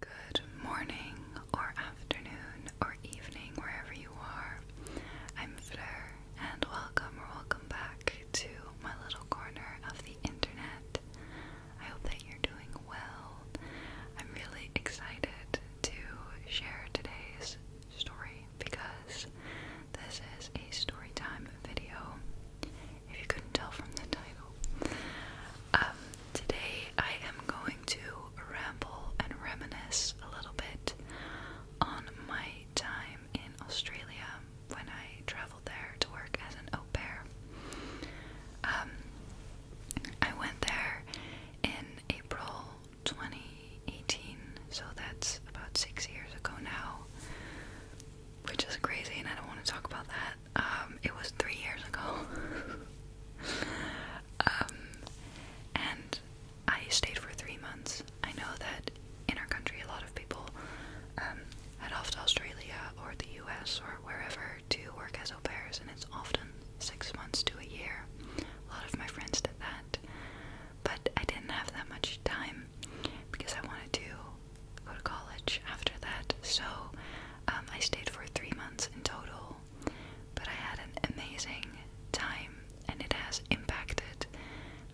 Good morning, or afternoon, or evening, wherever you are. I'm Fleur, and welcome or welcome back to my little corner of the internet. I hope that you're doing well. I'm really excited to share today's story because this is a story time video. If you couldn't tell from the title, um, today I am going to ramble and reminisce a little bit on my time in Australia when I traveled there to work as an au pair. Um, I went there in April 2018, so that's about six years ago now, which is crazy, and I don't want to talk about that um, it was three years ago. Um, and I stayed for three months. I know that in our country, a lot of people um, head off to Australia or the US or wherever to work as au pairs, and it's often six months to a year. A lot of my friends did that, but I didn't have that much time because I wanted to go to college after that, so um, I stayed for three months in total, but I had an amazing time and it has impacted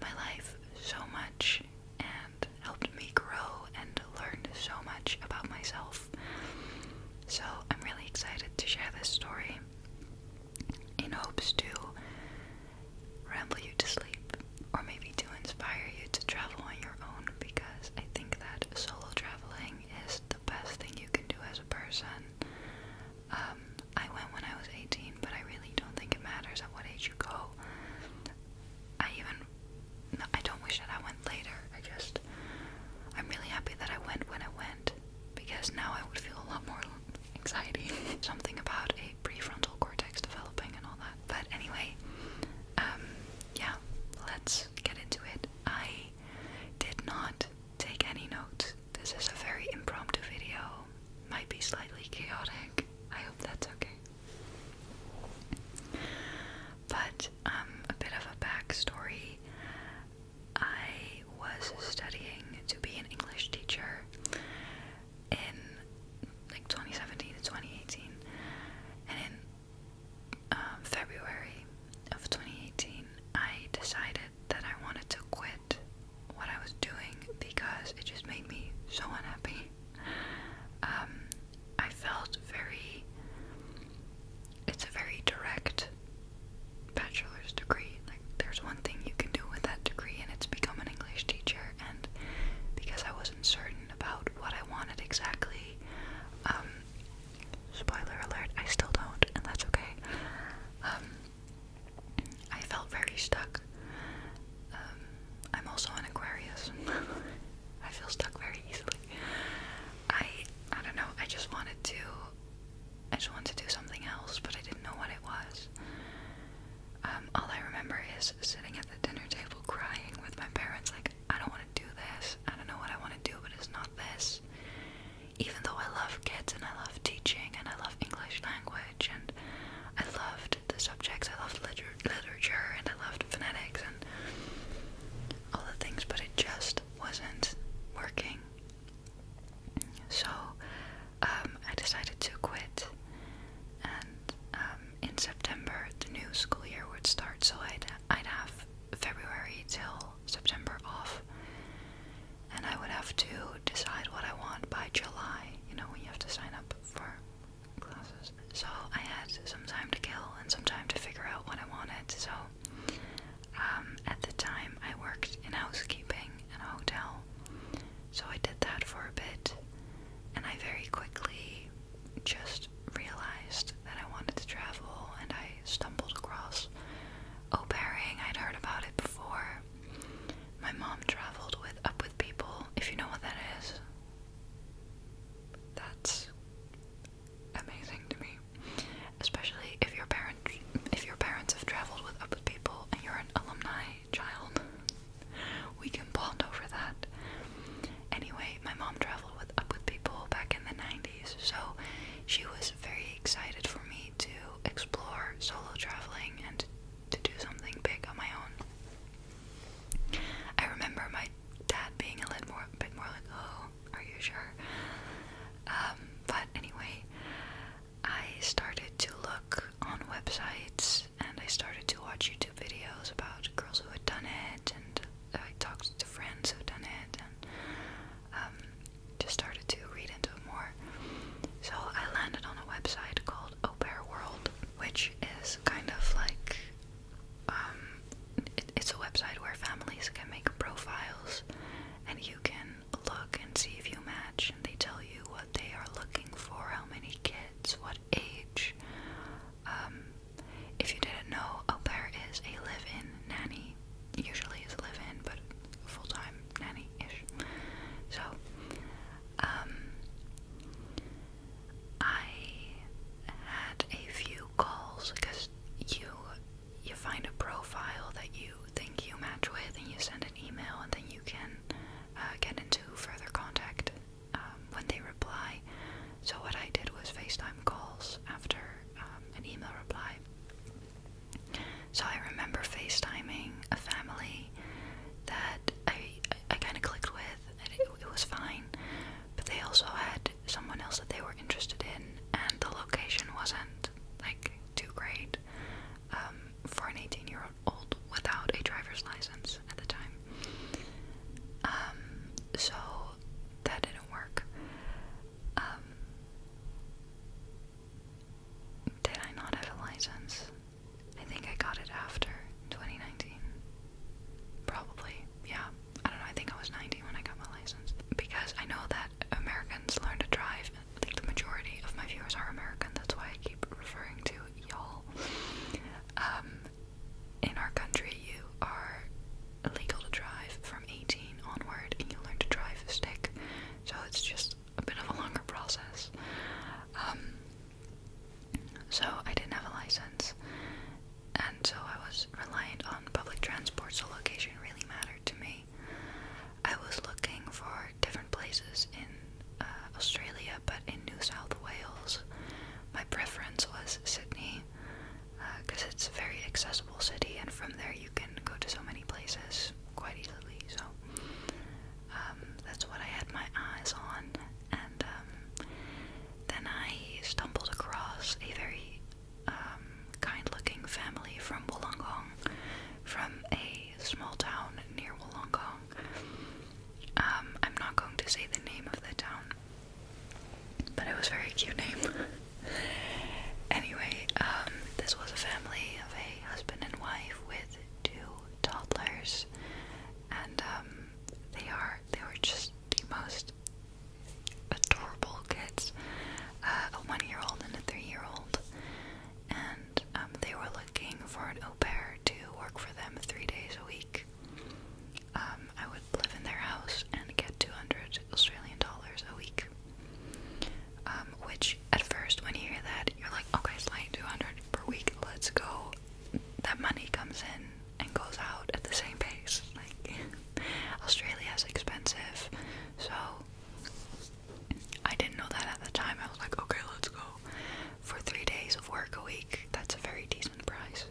my life so much and helped me grow and learn so much about myself. So I'm really excited to share this story in hopes to ramble you to sleep or maybe to inspire you to travel on your own because I think that solo traveling thing is the best thing you can do as a person. Um, I went when I was 18, but I really don't think it matters at what age you go. I even, I don't wish that I went later. I just, I'm really happy that I went when I went because now I would feel a lot more anxiety. Something about a prefrontal cortex developing and all that. But anyway, um, yeah, let's get into it. I did not take any notes. This is a very impromptu video. Might be slightly chaotic. I hope that's okay. But um a bit of a backstory. I was studying to be an English teacher in like 2017 to 2018. And in um, February of 2018, I decided that I wanted to quit what I was doing because it just made me so unhappy. Um, I felt very. It's a very direct bachelor's degree. Like, there's one thing you can do with that degree, and it's become an English teacher. And because I wasn't certain about what I wanted exactly, um, Spoiler alert, I still don't, and that's okay. Um, I felt very stuck. Um, I'm also an Aquarius. I feel stuck very easily. I I don't know, I just wanted to I just wanted to do something else, but I didn't know what it was. Um, all I remember is sitting at the dinner table crying with my parents, like I don't want to do this. I don't know what I want to do, but it's not this. Even though I love kids and I love teaching and I love English language and I loved the subjects, I loved literature and I loved phonetics and all the things, but it just wasn't working. So um, I decided to quit, and um, in September the new school year would start. So I'd I'd have February till September off, and I would have to decide what I want by July, you know, when you have to sign up for classes. So I had some time to kill and some time to figure out what I wanted. So um, at the time, I worked in housekeeping in a hotel. So I did that for a bit, and I very quickly just realized that I wanted to travel and I stumbled across au pairing. I'd heard about it before. My mom traveled with Up With People, if you know what that is. That's amazing to me. Especially if your parents, if your parents have traveled with Up With People and you're an alumni child. We can bond over that. Anyway, my mom traveled with up people back in the 90s, so she was very excited for me to explore solo traveling and to do something big on my own. I remember my dad being a little bit more like, "Oh, are you sure?" Um, but anyway, I started to look on websites and I started to watch YouTube videos about girls who had done it and I talked to friends who've done it and um, just started to read into it more. So I landed on a website called Au Pair World, which is kind of like um, it, it's a website where families can make profiles and you can look and see if you match, and they tell you what they are looking for, how many kids, what age, um, if you didn't know, au pair is a live-in nanny. Usually it's live-in, but full-time nanny-ish. So, um, I had a few calls because you you find a profile that you think you match with, and you send an email, and then you can uh, get into further contact um, when they reply. So what I did was FaceTime calls after um, an email reply. So I remember FaceTiming a family that I, I, kind of clicked with, and it, was fine. But they also had someone else that they were interested in, and the location wasn't like too great um, for an 18-year-old without a driver's license at the time. so that didn't work. Um, did I not have a license? I think I got it after 2019. Probably, yeah. I don't know, I think I was 19 when I got my license. Because I know that Americans learn to drive. I think the majority of my viewers are American, that's why I keep referring to y'all. Um, in our country, you are illegal to drive from 18 onward, and you learn to drive a stick. So it's just a bit of a longer process. Um, so I didn't have a license, and so I was reliant on public transport. So location really mattered to me. I was looking for different places in uh, Australia, but in New South Wales, my preference was Sydney because uh, it's a very accessible city, and from there you can go to so many places quite easily. So um, that's what I had my eyes on, and um, then I stumbled across a very um, kind-looking family from Wollongong, from a small town near Wollongong. I'm not going to say the name of the town but it was a very cute name. anyway, um, this was a family of a husband and wife with two toddlers, and um, they are they were just the most adorable kids. Uh, a one-year-old and a three-year-old, and um, they were looking for an au pair to work for them three days a week. Um, I would live in their house and get 200 Australian dollars a week. Um, which at first, when you hear that, you're like, okay, it's like 200 per week, let's go. That money comes in and goes out at the same pace. Like, Australia is expensive, so I didn't know that at the time. I was like, okay, let's go. For three days of work a week, that's a very decent price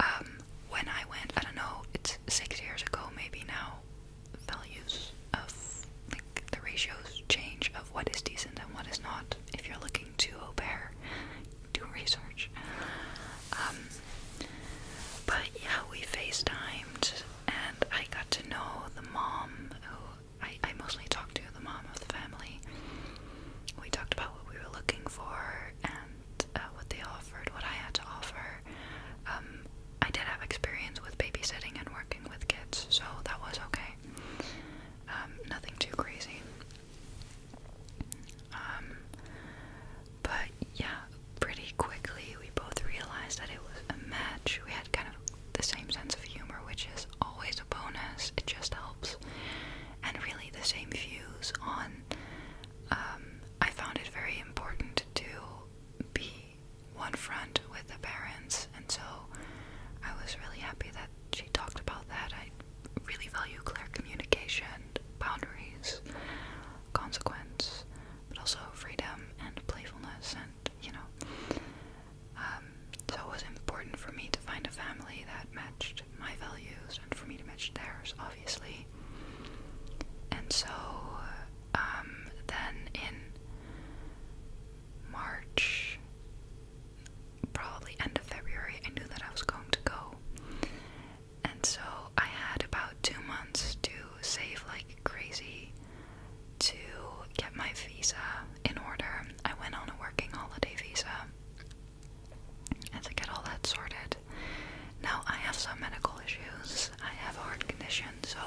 um, when I went, I don't know, it's six years ago maybe now, values of like the ratios change of what is decent and what is not. If you're looking to au do research. Um, but yeah, we FaceTimed and I got to know the mom who I, I mostly talked to, the mom of the family. We talked about what we were looking for and uh, what they offered, what I had to offer. Um, I did have experience with babysitting and working with kids, so that was okay. Um, nothing too crazy. Um, but yeah, pretty quickly we both realized that it was a match. We had kind of the same sense of humor, which is always a bonus, it just helps. And really the same views on um, I found it very important to be one front with the parents, and so I was really happy that she talked about that. I really value clear communication, boundaries, consequence, but also freedom and playfulness, and you know. Um, so it was important for me to find a family that matched my values for me to match theirs, obviously. And so, um, then in March, probably end of February, I knew that I was going to go. And so I had about two months to save like crazy to get my visa in order. I went on a working holiday visa as I get all that sorted. Now, I have some medical issues. I have a heart condition, so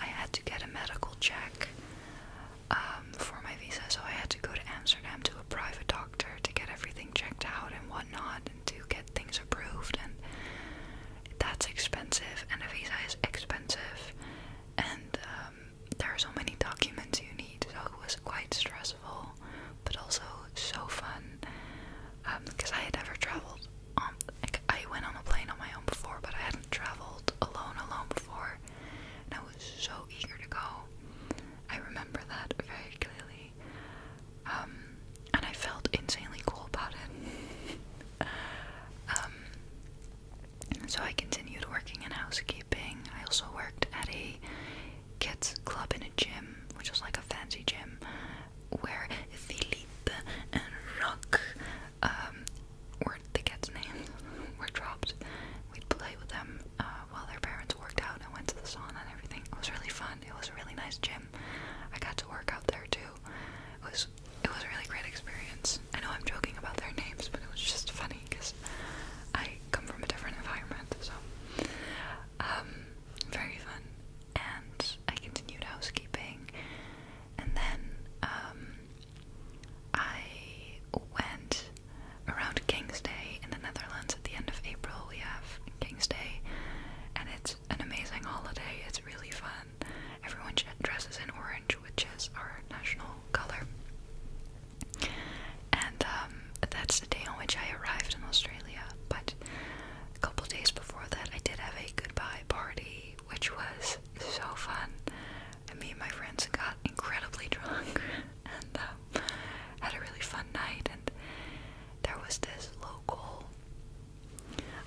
I had to get a medical check um, for my visa. So I had to go to Amsterdam to a private doctor to get everything checked out and whatnot and to get things approved. And that's expensive, and a visa is expensive. And um, there are so many documents you need, so it was quite stressful, but also so fun. Um, because I had never traveled on, like, I went on a plane on my own before, but I hadn't traveled alone, alone before, and I was so eager to go. I remember that very clearly, um, and I felt insanely cool about it. um, so I continued working in housekeeping. I also worked at a kids club in a gym, which was like a fancy gym, where Philippe and Rock um, were the kids' names, were dropped. We'd play with them uh, while their parents worked out and went to the sauna and everything. It was really fun. It was a really nice gym. I got to work out there too. It was it was a really great experience. I know I'm joking about their names, but it was just funny because I come from a different environment, so um, very fun. And I continued housekeeping, and then um, I went around King's Day in the Netherlands at the end of April. We have King's Day, and it's an amazing holiday. It's really fun. Everyone dresses in orange, which is our national color. And um, that's the day on which I arrived in Australia. But a couple days before that, I did have a goodbye party, which was so fun. me and my friends got incredibly drunk and uh, had a really fun night. And there was this local.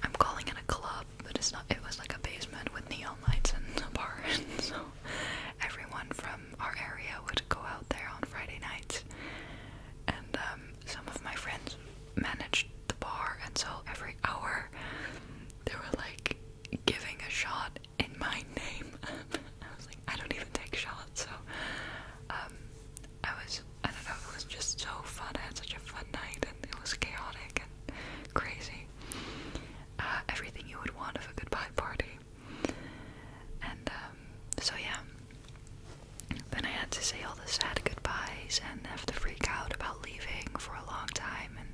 I'm calling it a club, but it's not. It was like a basement with neon lights and a bar, and so everyone from our area would go out there on Friday nights, and um, some of my friends managed the bar, and so every hour they were like giving a shot in my name. I was like, I don't even take shots, so um, I was, I don't know, it was just so fun. I had such a fun night, and it was chaotic and crazy. Uh, everything you would want of a goodbye party. And um, so yeah. Then I had to say all the sad goodbyes and have to freak out about leaving for a long time and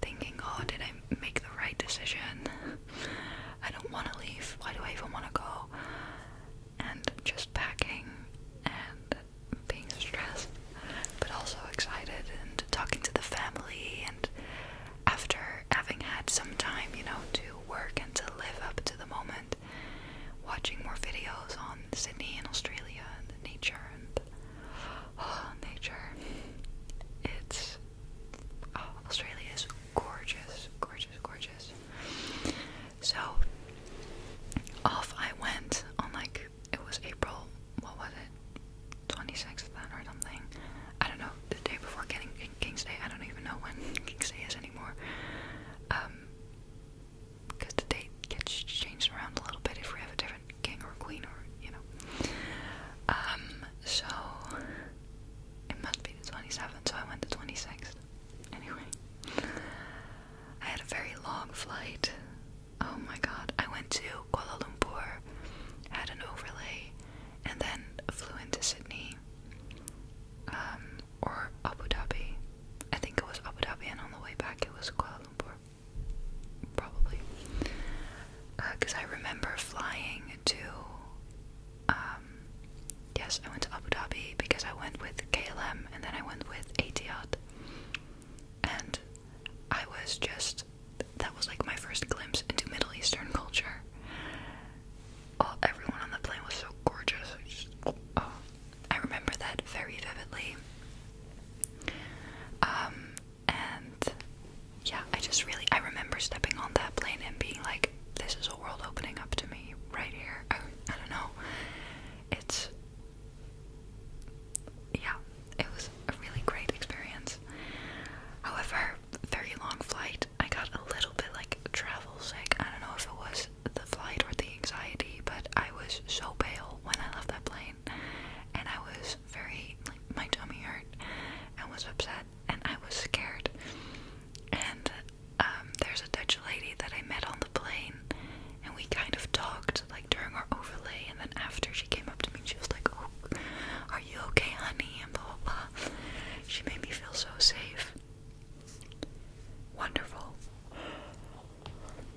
thinking, oh, did I make the right decision? I don't want to leave. Why do I even want to go? And just packing and being stressed, but also excited and talking to the family and after having had some time, you know, to work and to live up to the moment, watching more videos on Sydney and Australia and the nature and oh, nature. It's oh, Australia is gorgeous, gorgeous, gorgeous. So off I went on like it was April. What was it? 26th then or something. I don't know. The day before getting King's Day. I don't even know when King's Day is anymore. because um, the date gets changed around a little bit if we have a different king or queen or, you know. Um, so it must be the 27th, so I went the 26th. Anyway, I had a very long flight. Oh my god. I went to Kuala Lumpur, had an overlay, and then flew into Sydney um, or Abu Dhabi. I think it was Abu Dhabi, and on the way back it was Kuala Lumpur, probably. Because uh, I remember flying to, um, yes, I went to Abu Dhabi because I went with KLM and then I went with Etihad, and I was just that was like my first glimpse into Middle Eastern culture all oh, everyone on the plane was so gorgeous. I, oh, remember that very vividly. Um, and yeah, I just really I remember stepping on that plane and being like, "This is a world opening up to me right here." I don't know. It's yeah, it was a really great experience. However, very long flight. I got a little bit like travel sick. I don't know if it was the flight or the anxiety, but I was so pale when I left that plane, and I was very like my tummy hurt and was upset and I was scared. And um, there's a Dutch lady that I met on the plane, and we kind of talked like during our overlay, and then after she came up to me, she was like, "Oh, are you okay, honey?" and blah blah blah. She made me feel so safe. Wonderful.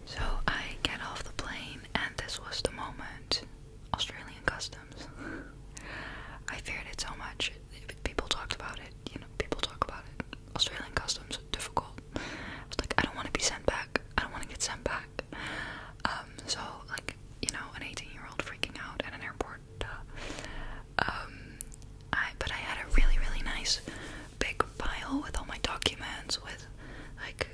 So I get off the plane, and this was the moment. Australian customs. I feared it so much. People talked about it. You know, people talk about it. Australian customs difficult. I was like, I don't want to be sent back. I don't want to get sent back. Um, so like, you know, an 18-year-old freaking out at an airport um, I but I had a really really nice big pile with all my documents, with like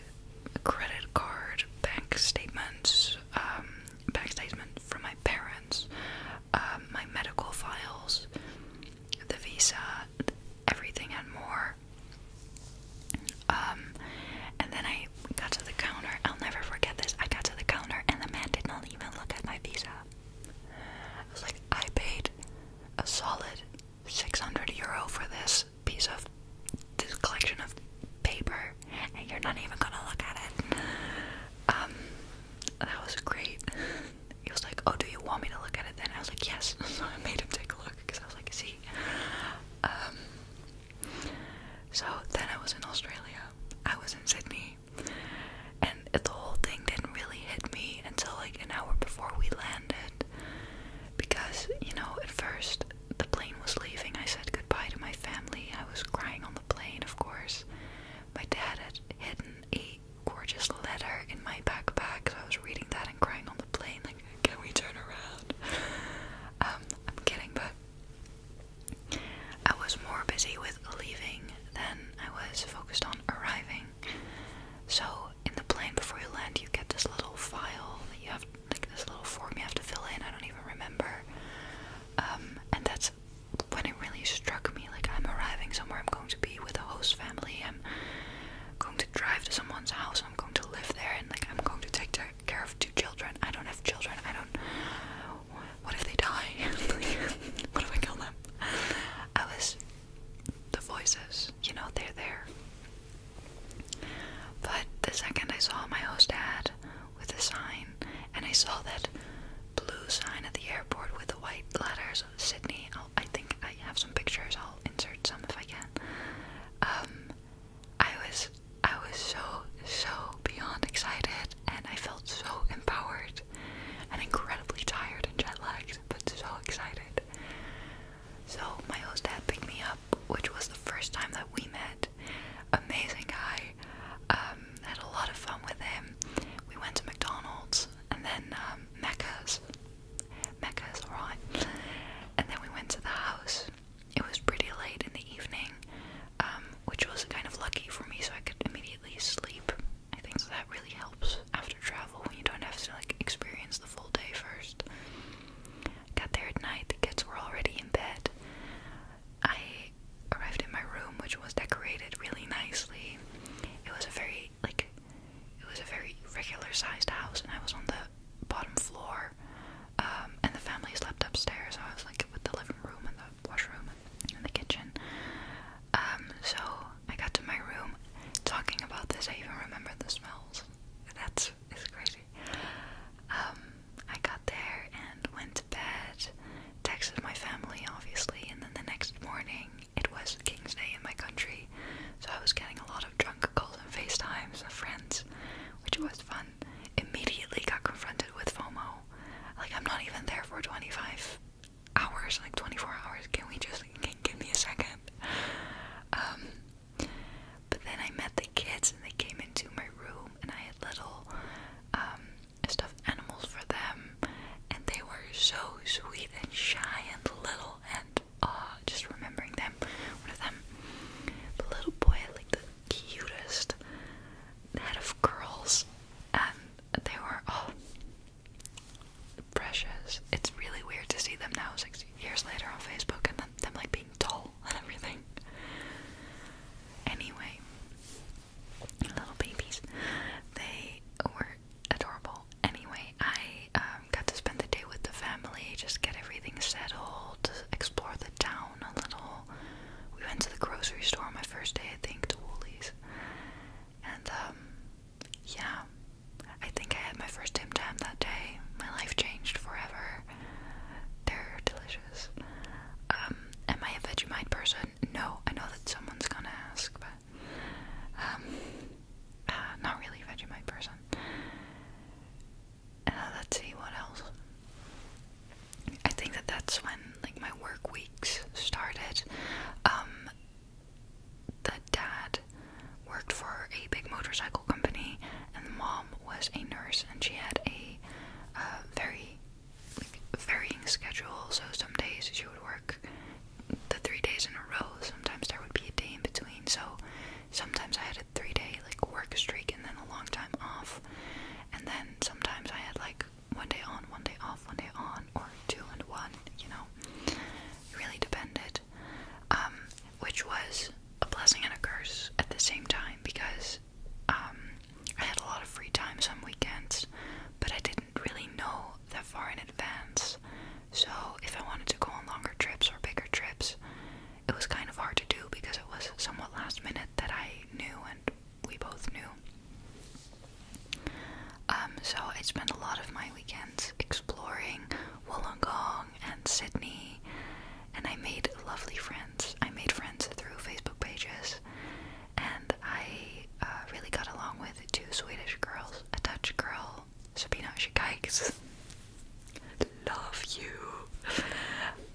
a credit card, bank statements, um, bank statement from my parents, um, my medical files, the visa, everything and more. Um, and then I I got to the counter. I'll never forget this. I got to the counter and the man did not even look at my visa. I was like, I paid a solid 600 euro for this piece of this collection of paper, and you're not even gonna look at it. Um, that was great. He was like, Oh, do you want me to look at it then? I was like, Yes. So I made him take a look because I was like, See. Um, so then I was in Australia I was in Sydney, and the whole thing didn't really hit me until like an hour before we landed. Because, you know, at first the plane was leaving, I said goodbye to my family. I was crying on the plane, of course. My dad had hidden a gorgeous letter in my backpack, so I was reading that and crying on the plane, like, can we turn around? Um, I'm kidding, but I was more busy with leaving than I was focused on arriving. So, in the plane before you land, you get this little file you have, like this little form you have to fill in. I don't even remember. Um, and that's when it really struck me like, I'm arriving somewhere, I'm going to be with a host family, I'm going to drive to someone's house, I'm going to live there, and like, I'm going to take care of two children. I don't have children, I don't what if they die? what if I kill them? I was the voices, you know, they're there. But the second I saw my host ad with the sign, and I saw that blue sign at the airport with the white letters Sydney, i I think I have some pictures, I'll insert some if I can. Um, I was I was so, so beyond excited, and I felt so empowered and incredibly tired and jet lagged, but so excited. So, my host dad picked me up, which was the first time that we met. Amazing guy. Um, had a lot of fun with him. We went to McDonald's and then um, Mecca's. Mecca's, alright. And then we went to the house. It was pretty late in the evening. Um, which was kind of lucky for me, so I could immediately sleep. I think that really helps after travel when you don't have to like experience the full day first. Got there at night, the kids were already in bed. I arrived in my room, which was decorated really nicely. It was a very like it was a very regular sized house, and I was on the bottom floor. Um, and the family slept upstairs, I was like with the living room and the washroom and the kitchen. Um, so I got to my room talking about this. I even remember the smells. That's it's crazy. Um, I got there and went to bed, texted my family, obviously, and then the next morning it was King's Day in my country, so I was getting a lot of drunk calls and FaceTimes and friends, which was fun immediately got confronted with FOMO. Like, I'm not even there for 25 hours, like 24 hours. Can we just give me a second? Um, but then I met the kids and they came into my room, and I had little um, stuffed animals for them, and they were so sweet and shy and little and uh, just remembering them, one of them, the little boy, like the cutest head of girls, and they were all precious. It's really weird to see them now, six years later, on Facebook, and them, them like being tall and everything. Anyway, little babies, they were adorable. Anyway, I um, got to spend the day with the family, just get everything settled, explore the it down a little. We went to the grocery store on my first day, I think, to Woolies. And, um, yeah, I think I had my first Tim Tam that day. My life changed forever. They're delicious. Um, am I a Vegemite person? No, I know that someone's gonna ask, but, um, uh, not really a Vegemite person. Uh, let's see what else. I think that that's when like my work weeks started. Um, the dad worked for a big motorcycle company, and the mom was a nurse, and she had a uh, very like, varying schedule. So some days she would work the three days in a row. Sometimes there would be a day in between. So sometimes I had a three-day like work streak and then a long time off and then sometimes I had like one day on, one day off, one day on, or two and one, you know. really depended. Um, which was a blessing and a curse at the same time because um, I had a lot of free time some weekends, but I didn't really know that far in advance. So if I wanted to go on longer trips or bigger trips, it was kind of hard to do because it was somewhat last minute that I knew and we both knew. Um, so I spent a lot of my weekends exploring Wollongong and Sydney, and I made lovely friends. I made friends through Facebook pages, and I uh, really got along with two Swedish girls, a Dutch girl, Sabina Shikikes. Love you.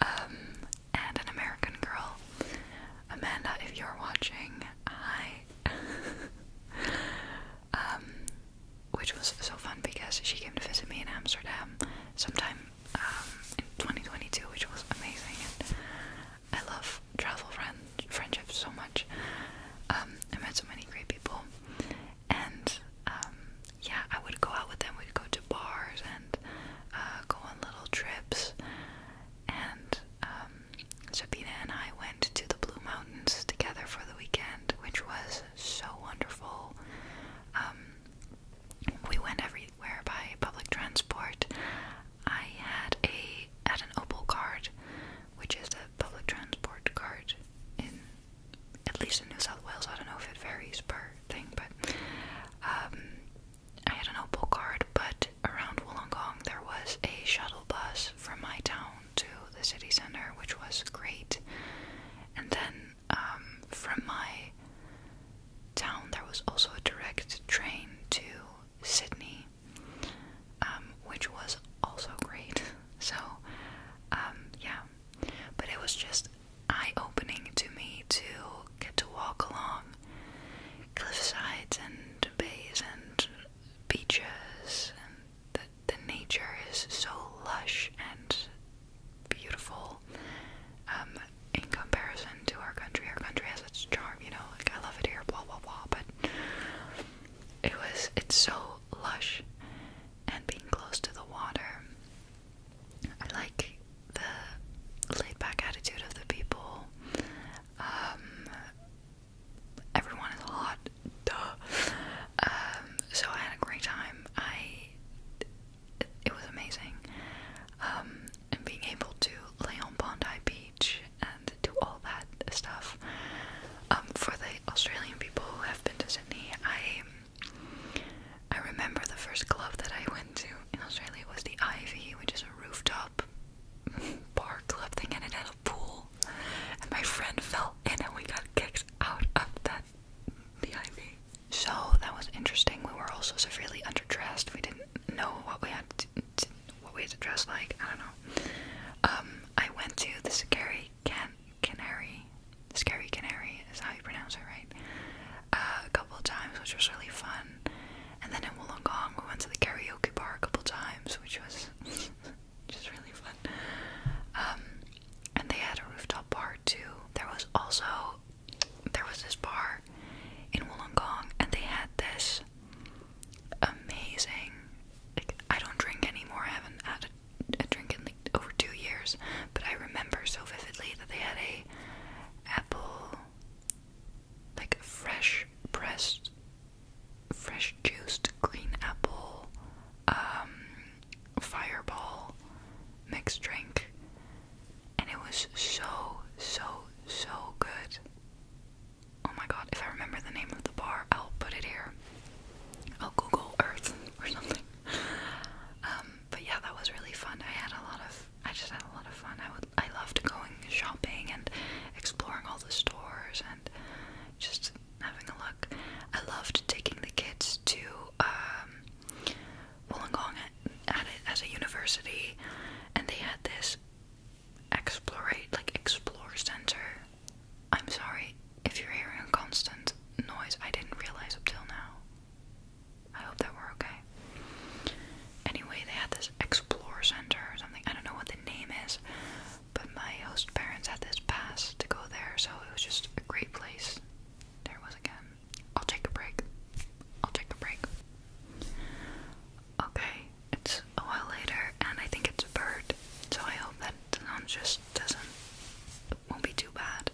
Um, and an American Girl. Amanda, if you're watching, hi. Um, which was so fun because she came to visit me in Amsterdam sometime um, in 2022, which was amazing. And I love travel friend friendships so much. Um, I met so many great people, and yeah, I would go out with them. We'd go to bars uh, go on little trips. And um, and I went to the Blue Mountains together for the weekend, which was so wonderful. Um, we went everywhere by public transport. I had a had an Opal card, which is a public transport card in at least in New South Wales. I don't know if it varies per thing, but um, I had an Opal card, but around Wollongong there was a shuttle bus from my town to the city center, which was great. And then um, from my town there was also a direct train to Sydney, um, which was also great. So, um, yeah. But it was just eye opening to me to get to walk along cliffsides and bays and beaches, and the, the nature is so lush and beautiful um, in comparison to our country. Our country has its charm, you know, like I love it here, blah blah blah, but it was, it's so lush and being close to the water I like the laid back attitude of the people. Um, everyone is hot, duh. Um, so I had a great time. I it, was amazing. Um, and being able to lay on Bondi Beach and do all that stuff. for the Australian people who have been to Sydney, I I remember the first club that I went to in Australia was the Ivy, which is a rooftop bar club thing, and it had a pool. And my friend fell in, and we got kicked out of that the Ivy. So that was interesting. We were also severely underdressed. We didn't know what we had to, what we had to dress like. I don't know. Um, I went to the Scary Can Canary. Scary Canary is how you pronounce it, right? a couple times, which was really fun. And then in Wollongong, we went to the karaoke bar a couple times, which was just really fun. Um, and they had a rooftop bar too. There was also there was this bar in Wollongong, and they had this amazing. I don't drink anymore. I haven't had a drink in like over two years, but I remember so vividly that they had a apple, like fresh pressed, fresh juiced green apple, um, fireball mixed drink, and it was so, so, so good. Oh my god, if I remember the name of the bar, I'll put it here. I'll Google Earth or something. Um, but yeah, that was really fun. I had a lot of I just had a lot of fun. I would I loved going shopping and exploring all the stores and just having a look. I loved taking the kids to um, at it as a university, and they had this explore like explore center. I'm sorry if you're hearing a constant noise. I didn't realize up till now. I hope that we're okay. Anyway, they had this Explore Center or something. I don't know what the name is, but my host parents had this pass to go there, so it was just a great place. There it was again. I'll take a break. I'll take a break. Okay, it's a while later, and I think it's a bird, so I hope that the sound just doesn't won't be too bad.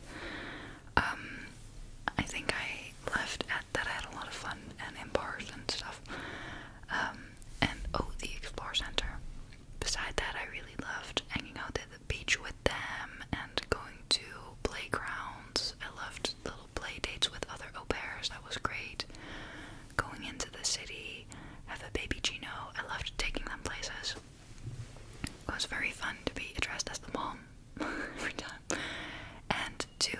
Um, I think I left at that I had a lot of fun and in bars and stuff. Um, and oh, the Explore Center. Besides that, I really loved hanging out at the beach with them and going to playgrounds. I loved little play dates with other au that was great. Going into the city, have a baby Gino, I loved taking them places. It was very fun to be addressed as the mom every time, and to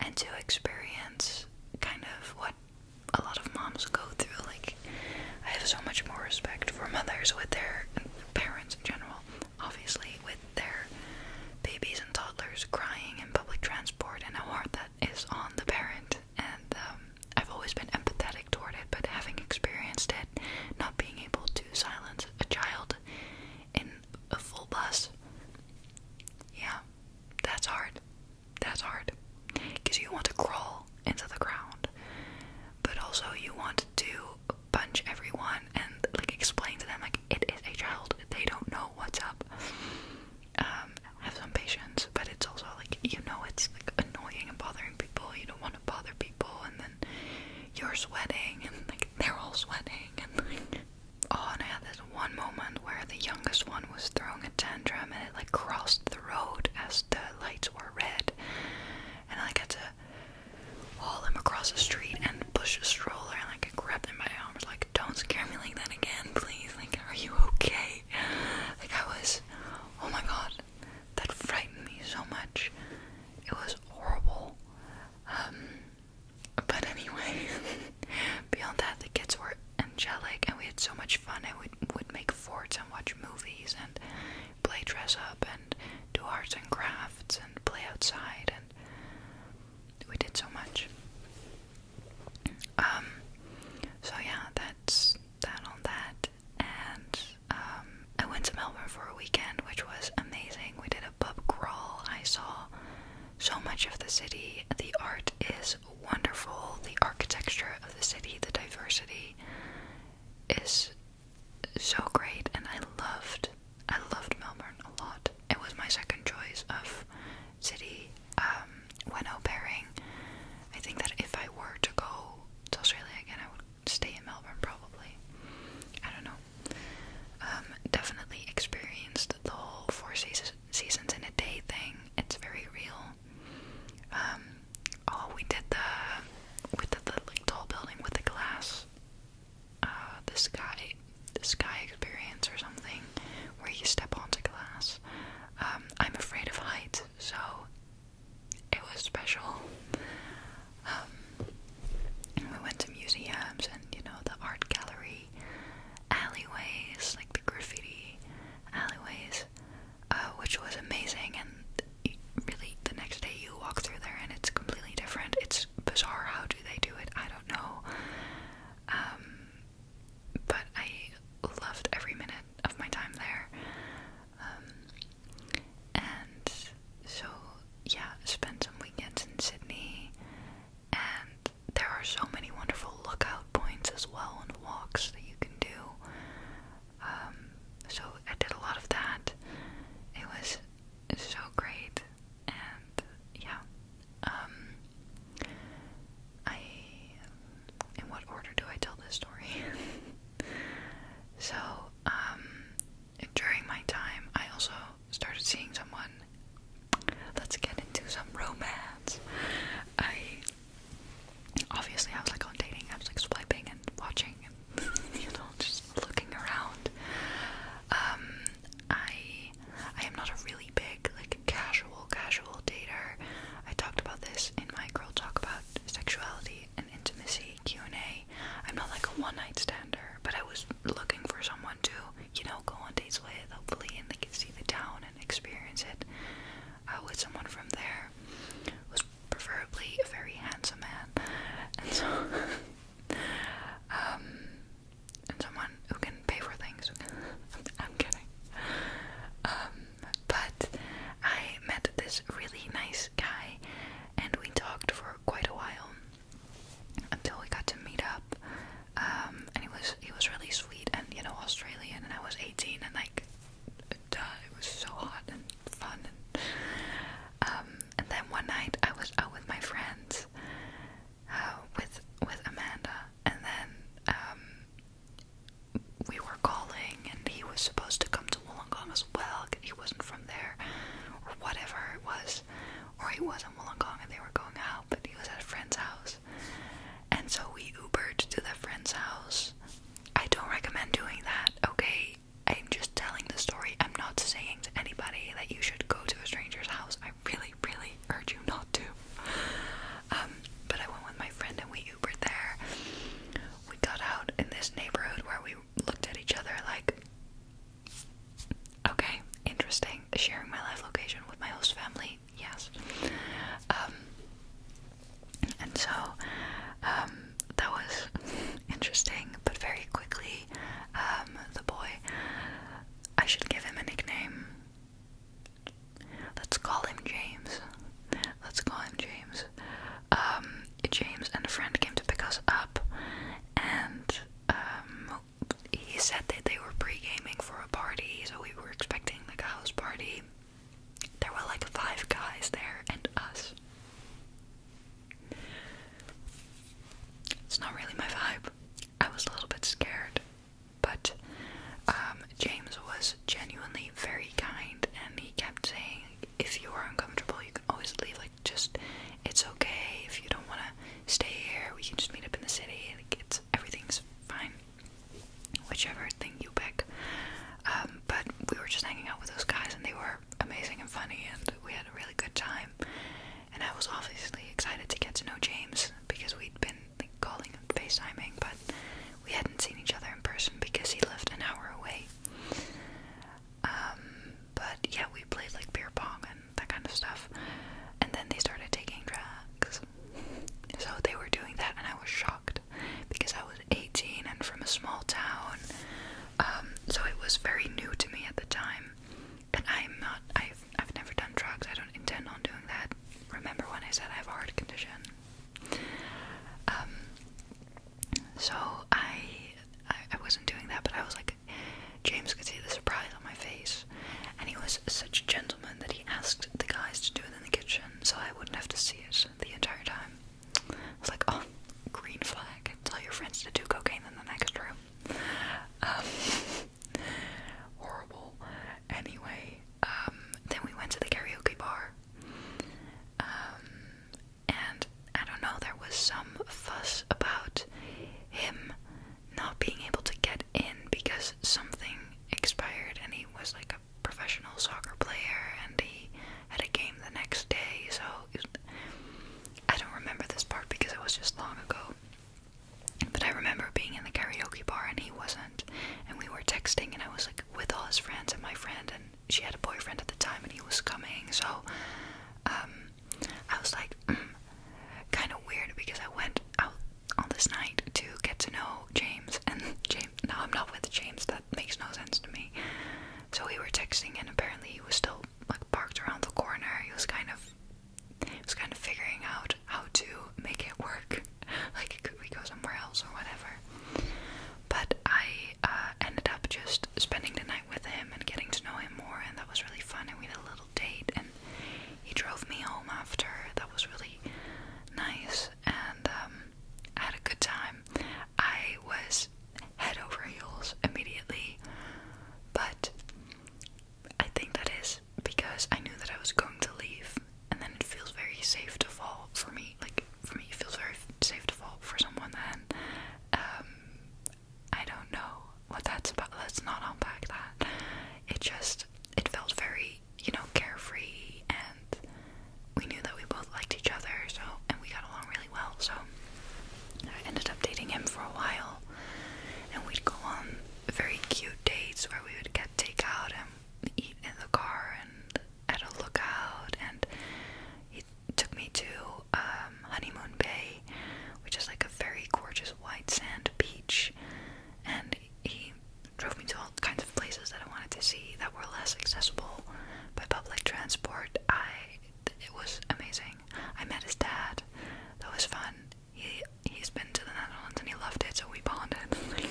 and to experience kind of what a lot of moms go through. Like, I have so much more respect for mothers with their parents in general, obviously, with their babies and toddlers crying in public transport and how hard that is on the parent. And um, I've always been empathetic toward it, but having experienced it, not being able to silence a child child in a full bus. Yeah, that's hard. That's hard. Because you want to crawl into the ground, but also you want to punch everyone and like explain to them like it is a child. They don't know what's up. Um, have some patience, but it's also like you know it's like annoying and bothering people. You don't want to bother people, and then and you're sweating and like they're all sweating and oh and I had this one moment where the youngest one was throwing a tantrum and it like crossed the road as the lights were red and I had to haul him across the street and push a stroller and like grab grabbed him by the arms like don't scare me like that again please like are you okay like I was oh my god that frightened me so much. It was horrible. Um, but anyway, beyond that, the kids were angelic and we had so much fun. And we would make forts and watch movies and play dress up and do arts and crafts and play outside and we did so much. Um, so yeah, that's that on that. And um, I went to Melbourne for a weekend, which was amazing. We did a pub crawl. I saw so much of the city. The art is wonderful. The architecture of the city, the diversity is so great, and I loved. I loved Melbourne a lot. It was my second choice of city um, when au I think that if I were to go to Australia again, I would stay in Melbourne, probably. I don't know. Um, definitely experienced the whole four seasons, seasons in a day thing. It's very real. Um, oh, we did the with the, like tall building with the glass. Uh, the sky, the sky experience or something, where you step onto glass. Um, I'm afraid of heights, so it was special. Um, we went to museums and you know the art gallery alleyways, like the graffiti alleyways, uh, which was amazing. And really, the next day you walk through there and it's completely different. It's bizarre. How do they do it? I don't know. Um, but I loved every minute of my time there. Um, and so yeah, spend some weekends in Sydney. And there are so many wonderful lookout points as well and walks that you can do. Um, so I did a lot of that. It was so great, and yeah. Um, I. In what order do I tell this story? so, um, during my time, I also started seeing someone. Let's get into some romance. I obviously I was like on dating, I was like swiping and watching and you know, just looking around. Um I I am not a really big, like casual, casual dater. I talked about this in my Girl Talk about sexuality and intimacy Q&A. I'm not like a one-night stander, but I was looking for someone to, you know, go on dates with, hopefully, and they can see the town and experience it uh, with someone from there. It was preferably a very handsome man, and so, um, and someone who can pay for things. I'm kidding. Um, but I met this really nice guy, and we talked for quite a while until we got to meet up. Um, and he was he was really sweet and you know Australian, and I was 18, and like, it was so hot and fun. Um, and, then one night I was out with my friends, uh, with with Amanda, and then um, we were calling, and he was supposed to come to Wollongong well, he wasn't from there, or whatever it was, or he was in Wollongong and they were going out, but he was at a friend's house, and so we Ubered to the friend's house. I don't recommend doing that, okay? I'm just telling the story. I'm not saying to anybody that you should go to a stranger's house. I really, really urge you not to. Um, but I went with my friend and we Ubered there. We got out in this neighborhood where we looked at each other like, okay, interesting. Sharing my life location with my host family, yes. Um, and so um, that was interesting, but very quickly, um, the boy, I should give him a nickname. Let's call him James. Let's call him James. James and a friend came to pick us up, and um, he said that they were pre gaming for a party, so we were expecting like a house party. There were like five guys there and us. It's not really my vibe. I was a little bit scared, but um, James was genuinely very kind and he kept saying, if you are uncomfortable, you can always leave. Like, just it's okay if you don't want to stay here. We can just meet up in the city. Like, it's everything's fine. Whichever thing you pick. Um, but we were just hanging out with those guys, and they were amazing and funny, and we had a really good time. And I was obviously excited to get to know James because we'd been calling and FaceTiming, but we hadn't seen each other in person because he lived an hour away. Um, but yeah, we played like beer pong and that kind of stuff. And then they started taking drugs. So they were doing that, and I was shocked because I was 18 and from a small town. Um, so it was very new to me at the time. And I'm not, I've, I've never done drugs, I don't intend on doing that. Remember when I said I have a heart condition? Um, so I, I wasn't doing that, but I was like, James could see the surprise on my face, and he was such a gentleman that he asked the guys to do it in the kitchen, so I wouldn't have to see it the entire time. I was like, oh, green flag! Tell your friends to do cocaine in the next room. Um, horrible. Anyway, um, then we went to the karaoke bar. Um, and I don't know, there was some fuss about him not being able to get in because something expired and he was like a professional soccer player and he had a game the next day, so was, I don't remember this part because it was just long ago. But I remember being in the karaoke bar and he wasn't, and we were texting, and I was like with all his friends and my friend, and she had a boyfriend at the time and he was coming so um, I was like mm, kind of weird because I went out on this night to get to know James and James now I'm not with James that makes no sense to me so we were texting and apparently he was still like parked around the corner he was kind of he was kind of figuring out how to make it work like could we go somewhere else or whatever but I uh, ended up just spending the night with him and getting to know him more, and that was really fun. And we had a little date, and he drove me home after. That was really nice, and um, I had a good time. I was head over heels immediately, but I think that is because I knew that I was going to leave, and then it feels very safe to fall for me. Like for me, it feels very safe to fall for someone then um, I don't know what that's about. Let's not unpack that. It just it felt very, you know, carefree and we knew that we both liked each other, so and we got along really well, so I ended up dating him for a while and we'd go on very cute dates where we would get takeout and eat in the car and at a lookout and took me to um, Honeymoon Bay, which is like a very gorgeous white sand beach, and he drove me to all kinds of places that I wanted to see that were less accessible by public transport. I it was amazing. I met his dad. That was fun. He he's been to the Netherlands and he loved it, so we bonded.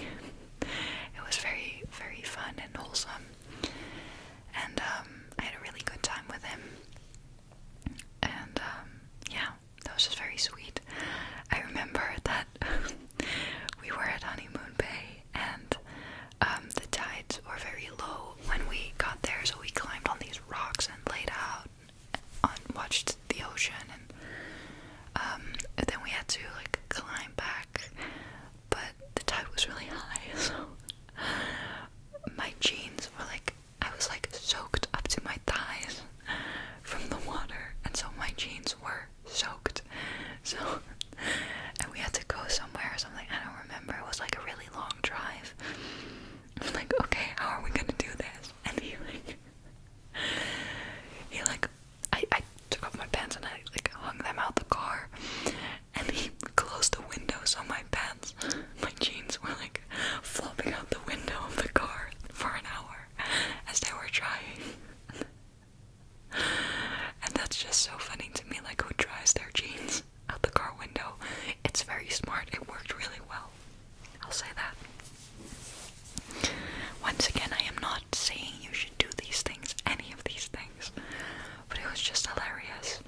it was very very fun and wholesome and um, I had a really good time with him. And um, yeah, that was just very sweet. I remember that we were at Honeymoon Bay and um, the tides were very low when we got there, so we climbed on these rocks and laid out and watched the ocean. And then we had to like climb back but the tide was really high, so my jeans were like I was like soaked up to my thighs from the water, and so my jeans were soaked. So, and we had to go somewhere or something. I don't remember. It was like a really long drive. I'm like, okay, how are we gonna do this? And he like, he like, I I took off my pants and I like hung them out the car, and he closed the windows on my pants. My jeans were like flopping out the window of the car for an hour as they were drying. and that's just so funny to me, like who dries their jeans out the car window? It's very smart, it worked really well. I'll say that. Once again, I am not saying you should do these things, any of these things but it was just hilarious.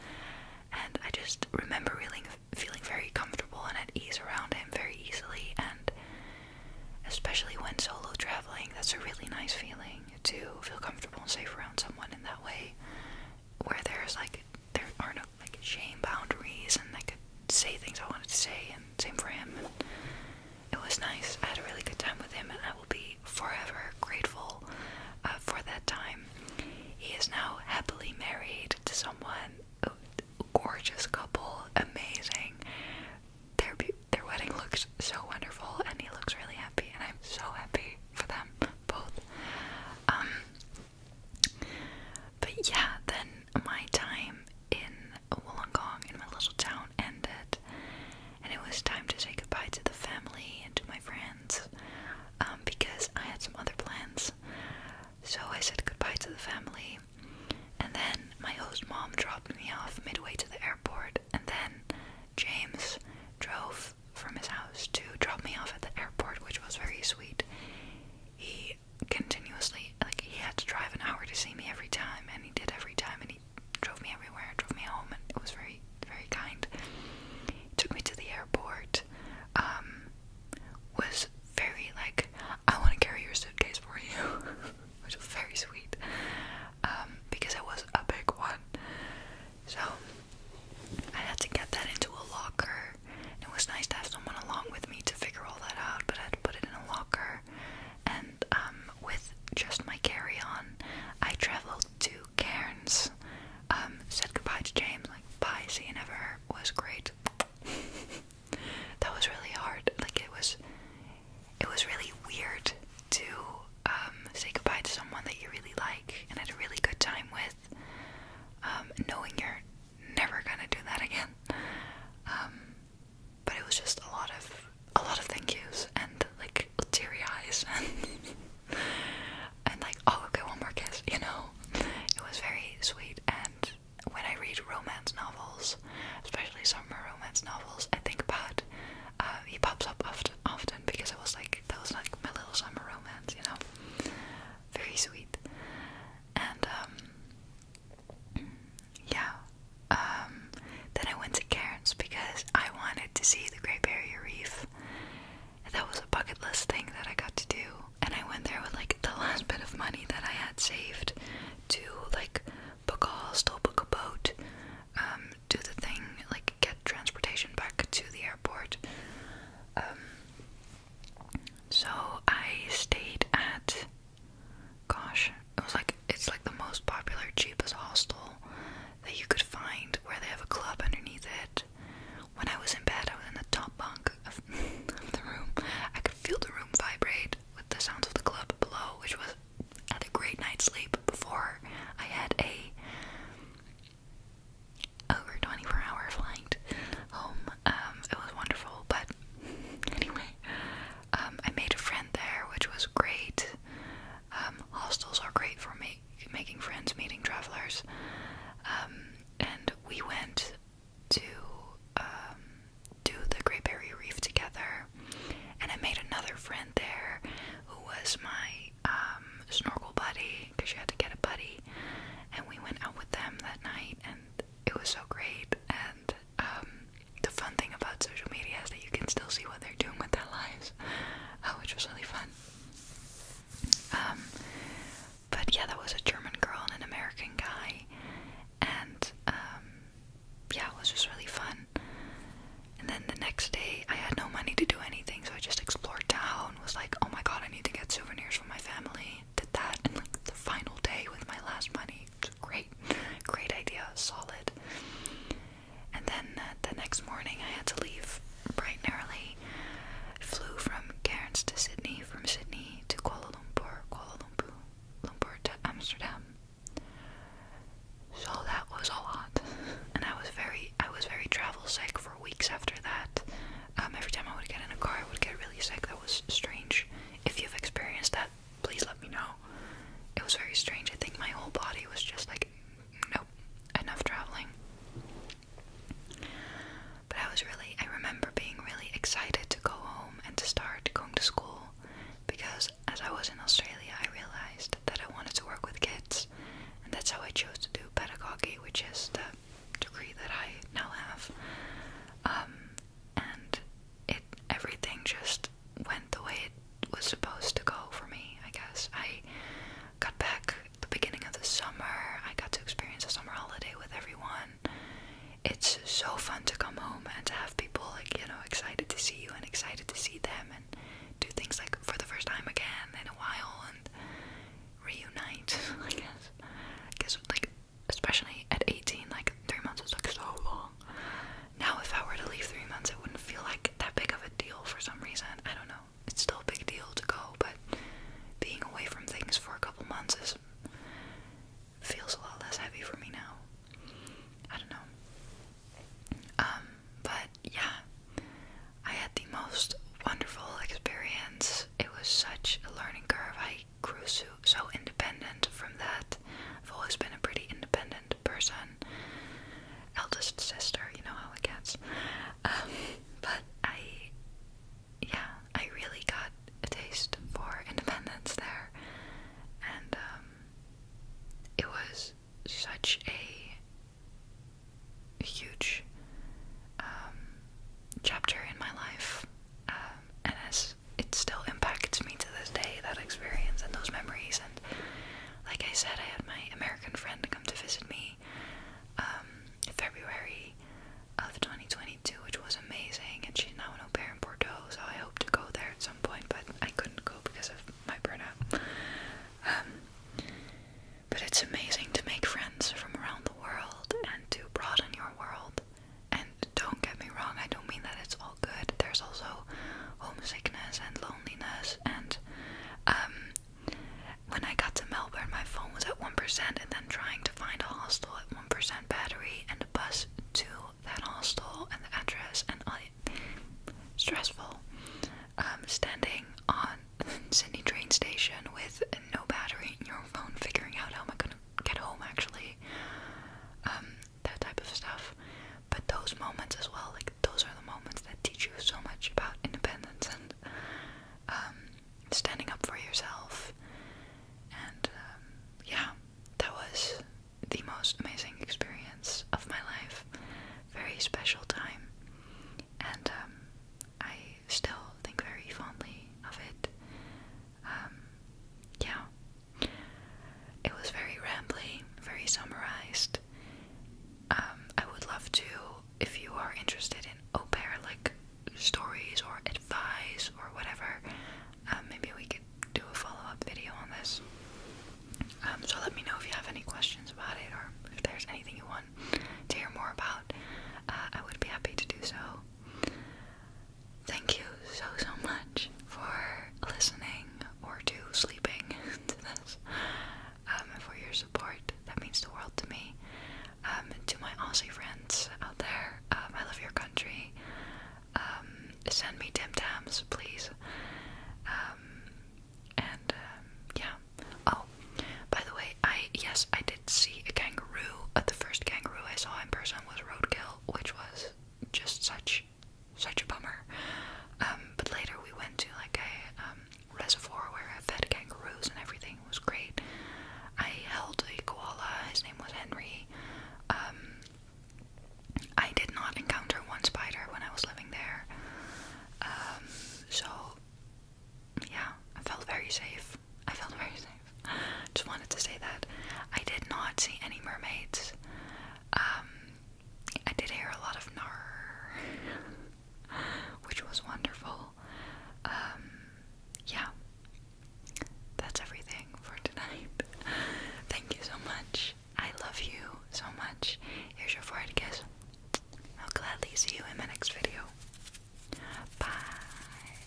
And I just remember feeling feeling very comfortable and at ease around him very easily, and especially when solo traveling, that's a really nice feeling to feel comfortable and safe around someone in that way, where there's like there are no like shame boundaries, and I could say things I wanted to say, and same for him. And it was nice. I had a really good time with him, and I be forever grateful uh, for that time. He is now happily married to someone, gorgeous couple, amazing. Their, their wedding looks so wonderful, and he looks really happy, and I'm so happy for them both. Um, but yeah, then my time in Wollongong, in my little town, ended, and it was time to say goodbye to the family and to my friends um, because I had some other plans. So I said goodbye to the family, and then my host mom dropped me off midway to the airport, and then James drove from his house to drop me off at the airport, which was very sweet. He continuously, like, he had to drive an hour to see me every time, and he did every time, and he drove me everywhere, drove me home, and it was very, very kind. took me to the airport. Um, was very like, I want to carry your suitcase for you, which was very sweet. Um, because it was a big one, so I had to get that into a locker. It was nice to have someone along with me to figure all that out, but I had to put it in a locker. And um, with just my carry-on, I traveled to Cairns. Um, said goodbye to James, like bye, see you never was great. that was really hard. Like it was it was really weird to um, say goodbye to someone that you really like and had a really good time with. Um, knowing you're never gonna do that again. but it was just a lot of a lot of thank yous and like teary eyes and and like, oh, okay, one more kiss, you know? It was very sweet. And when I read romance novels, especially summer romance novels, I think about uh, he pops up often, often because it was like that was like my little summer romance, you know? Very sweet. And um, yeah. Um, then I went to Cairns because I wanted to see the Great Barrier Reef month. That was a bucket list thing that I got to do. And I went there with like the last bit of money that I had saved to like book a hostel, book a boat, um, do the thing, like get transportation back to the airport. Um, so I stayed at, gosh, it was like it's like the most popular, cheapest hostel that you could find where they have a club underneath it. When I was in bed, I was in the top bunk of, the room. I could feel the room vibrate with the sounds of the club below, which was at a great night's sleep before I had a over 24 hour flight home. Um, it was wonderful, but anyway, um, I made a friend there, which was great. Um, hostels are great for make, making friends, meeting travelers. Um, and we went to um, do the Great Barrier Reef together, and I made another friend there who was my snorkel buddy because you had to get a buddy, and we went out with them that night, and it was so great. And the fun thing about social media is that you can still see what they're doing with their lives uh, which was really fun. Um, but yeah, that was a German girl and an American guy, and um, yeah, it was just really fun. And then the next day, I had no money to do anything, so I just explored town. Was like, oh my god, I need to get souvenirs for my family. Did that, and like the final day with my last money. It was great, great idea, solid. And then uh, the next morning, I had to leave bright and early. flew from Cairns to Sydney, from Sydney to Kuala Lumpur, Kuala Lumpur, Lumpur to Amsterdam. So that was a lot, and I was very, I was very travel sick for weeks after that. Um, every time I would get in a car, I would get really sick. That was strange. If you've experienced that, please let me know. It was very strange. I think my whole body was just like nope, enough traveling. But I was really, I remember being really excited to go home and to start going to school because as I was in Australia, I realized that I wanted to work with kids, and that's how I chose to do pedagogy, which is the degree that I now have. Um, and it everything just went the way it was supposed to go for me, I guess. I got back the beginning of the summer. I got to experience a summer holiday with everyone. It's so fun to come home and to have people like, you know, excited to see you and excited to see them and do things like for the first time again in a while and reunite, I guess. guess like especially at 18, like 3 months is like so long. Now, if I were to leave three months, it wouldn't feel like that big of a deal for some reason. I don't know. It's still a big deal to go, but being away from things for a couple months feels a lot less heavy for me now. I don't know. Um, but yeah, I had the most wonderful experience. It was such a learning curve. I grew so, so independent from that. I've always been a pretty independent person, eldest sister, you know how it gets. Um, but I, yeah, I really got a taste for independence there, and um, it was such a huge um, chapter in my life, um, and as it still impacts me to this day that experience and those memories and like I said, I had my American friend come to visit me um, in February of 2022, which was amazing. And she's now an au pair in Bordeaux, so I hope to go there at some point, but I couldn't go because of my burnout. Um, but it's amazing to make friends from around the world and to broaden your world. And don't get me wrong, I don't mean that it's all good. There's also homesickness and loneliness and um, when I got to Melbourne my phone was at 1% and then trying to find a hostel at 1% battery and a bus to that hostel and the address and all stressful um, standing on Sydney train station with no battery in your phone figuring out how am I gonna get home actually um, that type of stuff but those moments as well, like those are the moments that teach you so much about independence and um, standing up for yourself. And um, yeah, that was the most amazing experience of my life. Very special time, and um, I still think very fondly of it. yeah, it was very rambling, very summarized, um, I would love to, if you are interested in au like stories or advice or whatever, um, maybe we could do a follow up video on this. Um, so let me know if you have any questions about it or if there's anything you want to hear more about. Uh, I would be happy to do so. Thank you so so much for listening or to sleeping to this. Um, for your support. That means the world to me. Um, to my Aussie friends out there, um, I love your country. send me Tim Tams, please. and yeah. Oh, by the way, I yes, I did see a kangaroo. Uh, the first kangaroo I saw in person was roadkill, which was just such such a bummer. Um, but later we went to like a um, reservoir where I fed kangaroos and everything it was great. I held a koala. His name was Henry. Um, I did not encounter one spider when I was living there. so yeah, I felt very safe. I felt very safe. Just wanted to say that I did not see any mermaids. I did hear a lot of nar, which was wonderful. Um, yeah, that's everything for tonight. Thank you so much. I love you so much. Here's your forehead kiss. I'll gladly see you in my next video. Bye.